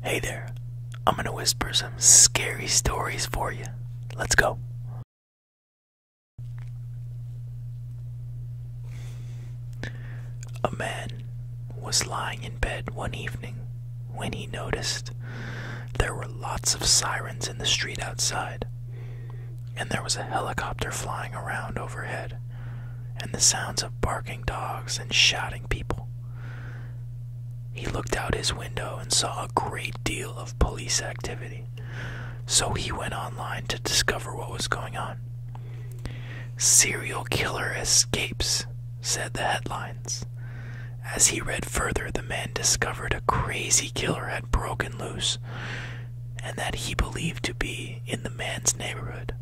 Hey there, I'm gonna whisper some scary stories for you. Let's go. A man was lying in bed one evening when he noticed there were lots of sirens in the street outside, and there was a helicopter flying around overhead, and the sounds of barking dogs and shouting people. He looked out his window and saw a great deal of police activity, so he went online to discover what was going on. Serial killer escapes, said the headlines. As he read further, the man discovered a crazy killer had broken loose and that he believed to be in the man's neighborhood.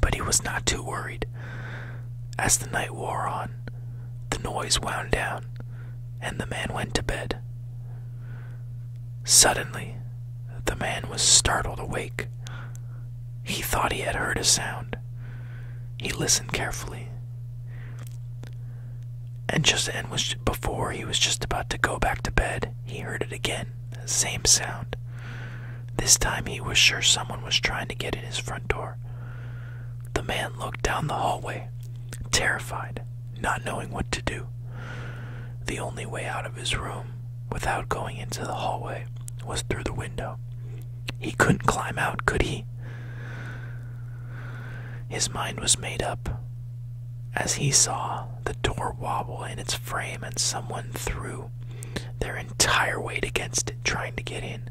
But he was not too worried. As the night wore on, the noise wound down, and the man went to bed. Suddenly, the man was startled awake. He thought he had heard a sound. He listened carefully. And just as before he was just about to go back to bed, he heard it again. Same sound. This time he was sure someone was trying to get in his front door. The man looked down the hallway, terrified, not knowing what to do. The only way out of his room, without going into the hallway, was through the window. He couldn't climb out, could he? His mind was made up. As he saw the door wobble in its frame and someone threw their entire weight against it, trying to get in.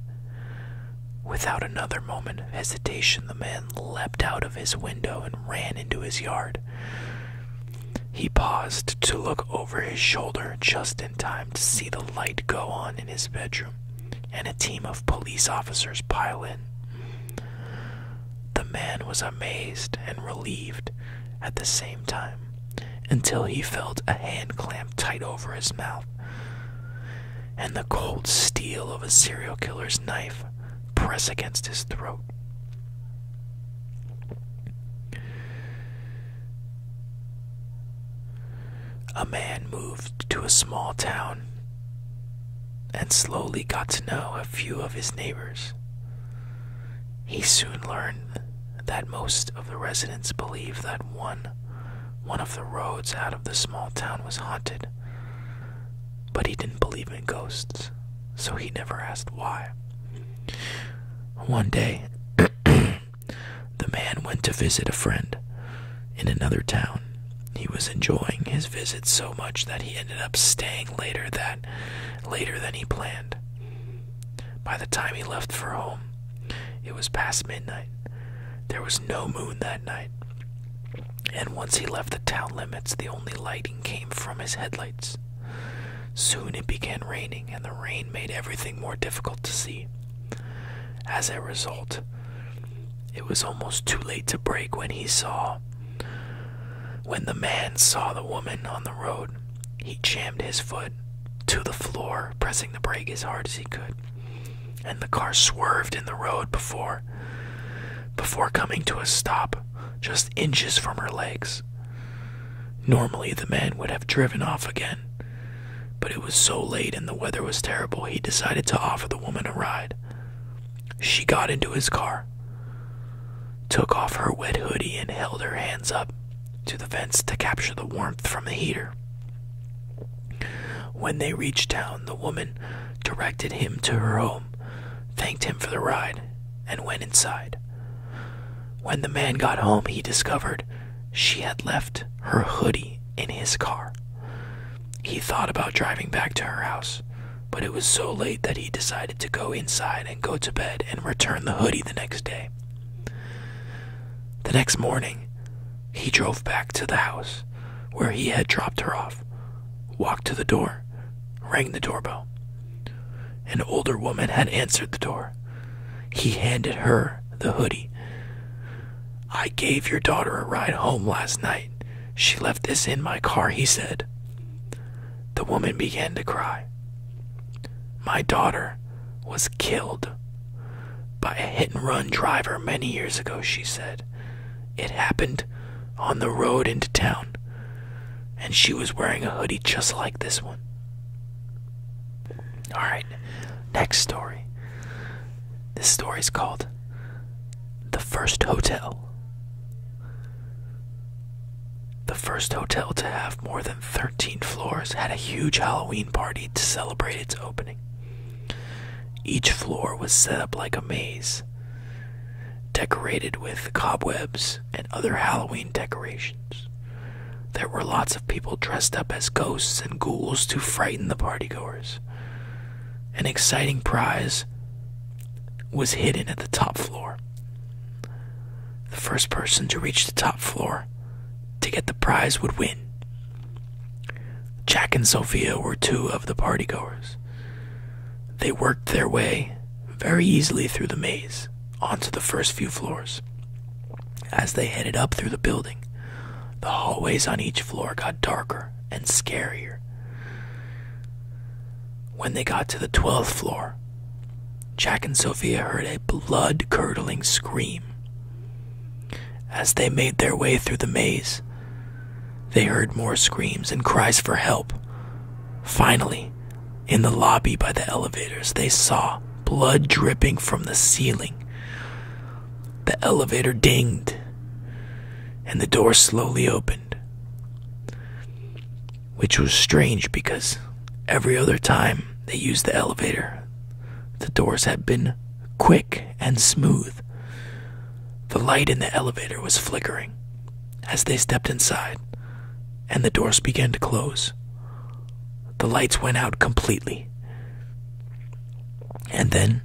Without another moment of hesitation, the man leaped out of his window and ran into his yard. He paused to look over his shoulder just in time to see the light go on in his bedroom and a team of police officers pile in. The man was amazed and relieved at the same time until he felt a hand clamp tight over his mouth, and the cold steel of a serial killer's knife press against his throat. A man moved to a small town and slowly got to know a few of his neighbors. He soon learned that most of the residents believed that one one of the roads out of the small town was haunted. But he didn't believe in ghosts, so he never asked why. One day, the man went to visit a friend in another town. He was enjoying his visit so much that he ended up staying later that later than he planned. By the time he left for home, it was past midnight. There was no moon that night, and once he left the town limits, the only lighting came from his headlights. Soon it began raining, and the rain made everything more difficult to see. As a result, it was almost too late to break when he saw. When the man saw the woman on the road, he jammed his foot to the floor, pressing the brake as hard as he could. And the car swerved in the road before before coming to a stop just inches from her legs. Normally the man would have driven off again, but it was so late and the weather was terrible he decided to offer the woman a ride. She got into his car took off her wet hoodie and held her hands up to the vents to capture the warmth from the heater. When they reached town, the woman directed him to her home, thanked him for the ride, and went inside. When the man got home, he discovered she had left her hoodie in his car. He thought about driving back to her house, but it was so late that he decided to go inside go to bed and return the hoodie the next day. The next morning, he drove back to the house where he had dropped her off, walked to the door, rang the doorbell. An older woman had answered the door. He handed her the hoodie. I gave your daughter a ride home last night. She left this in my car, he said. The woman began to cry. My daughter was killed by a hit and run driver many years ago, she said. It happened on the road into town, and she was wearing a hoodie just like this one. Alright, next story. This story is called The First Hotel. The first hotel to have more than 13 floors had a huge Halloween party to celebrate its opening. Each floor was set up like a maze, decorated with cobwebs and other Halloween decorations. There were lots of people dressed up as ghosts and ghouls to frighten the partygoers. An exciting prize was hidden at the top floor. The first person to reach the top floor to get the prize would win. Jack and Sophia were two of the partygoers. They worked their way very easily through the maze onto the first few floors. As they headed up through the building, the hallways on each floor got darker and scarier. When they got to the 12th floor, Jack and Sophia heard a blood curdling scream. As they made their way through the maze, they heard more screams and cries for help. Finally, in the lobby by the elevators, they saw blood dripping from the ceiling. The elevator dinged, and the door slowly opened. Which was strange because every other time they used the elevator, the doors had been quick and smooth. The light in the elevator was flickering as they stepped inside, and the doors began to close. The lights went out completely. And then,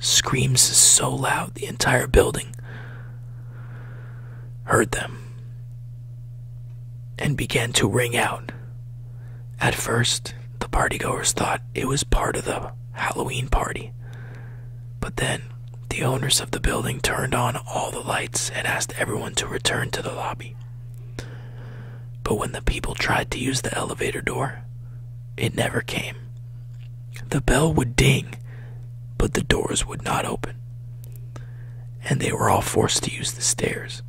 screams so loud the entire building heard them and began to ring out. At first, the partygoers thought it was part of the Halloween party. But then, the owners of the building turned on all the lights and asked everyone to return to the lobby. But when the people tried to use the elevator door, it never came. The bell would ding, but the doors would not open and they were all forced to use the stairs.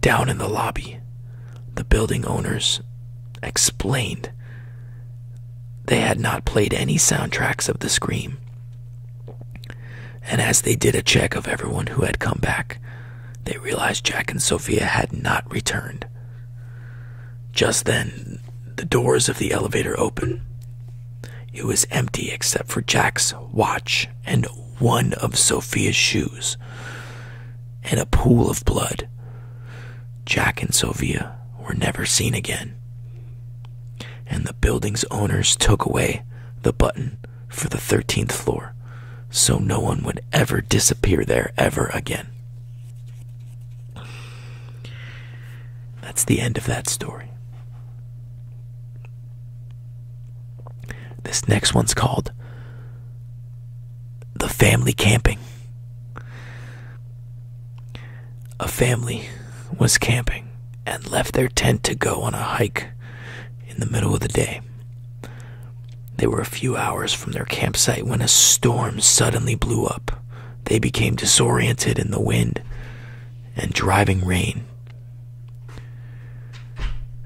Down in the lobby, the building owners explained they had not played any soundtracks of the scream. And as they did a check of everyone who had come back, they realized Jack and Sophia had not returned. Just then, the doors of the elevator open. It was empty except for Jack's watch and one of Sophia's shoes, and a pool of blood. Jack and Sophia were never seen again. And the building's owners took away the button for the 13th floor so no one would ever disappear there ever again. That's the end of that story. This next one's called The Family Camping. A family was camping and left their tent to go on a hike in the middle of the day. They were a few hours from their campsite when a storm suddenly blew up, they became disoriented in the wind and driving rain.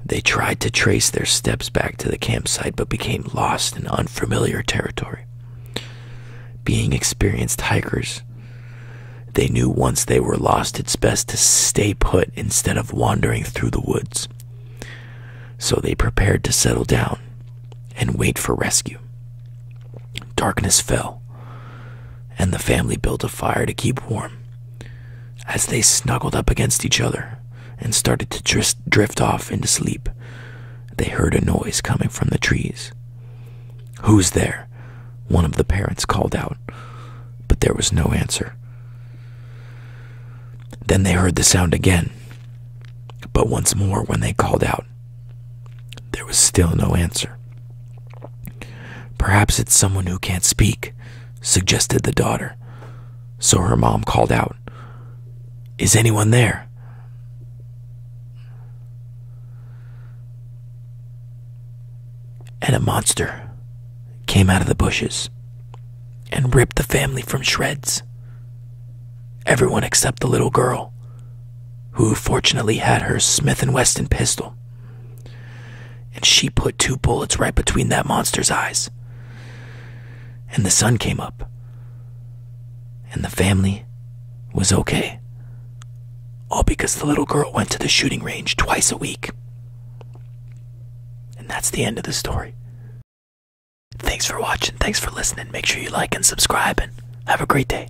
They tried to trace their steps back to the campsite but became lost in unfamiliar territory. Being experienced hikers, they knew once they were lost, it's best to stay put instead of wandering through the woods. So they prepared to settle down and wait for rescue. Darkness fell, and the family built a fire to keep warm. As they snuggled up against each other and started to drift, off into sleep, they heard a noise coming from the trees. Who's there? One of the parents called out, but there was no answer. Then they heard the sound again, but once more when they called out, there was still no answer. Perhaps it's someone who can't speak, suggested the daughter. So her mom called out, Is anyone there? And a monster came out of the bushes and ripped the family from shreds. Everyone except the little girl, who fortunately had her Smith and Wesson pistol. And she put two bullets right between that monster's eyes. And the sun came up. And the family was okay. All because the little girl went to the shooting range twice a week. And that's the end of the story. Thanks for watching. Thanks for listening. Make sure you like and subscribe and have a great day.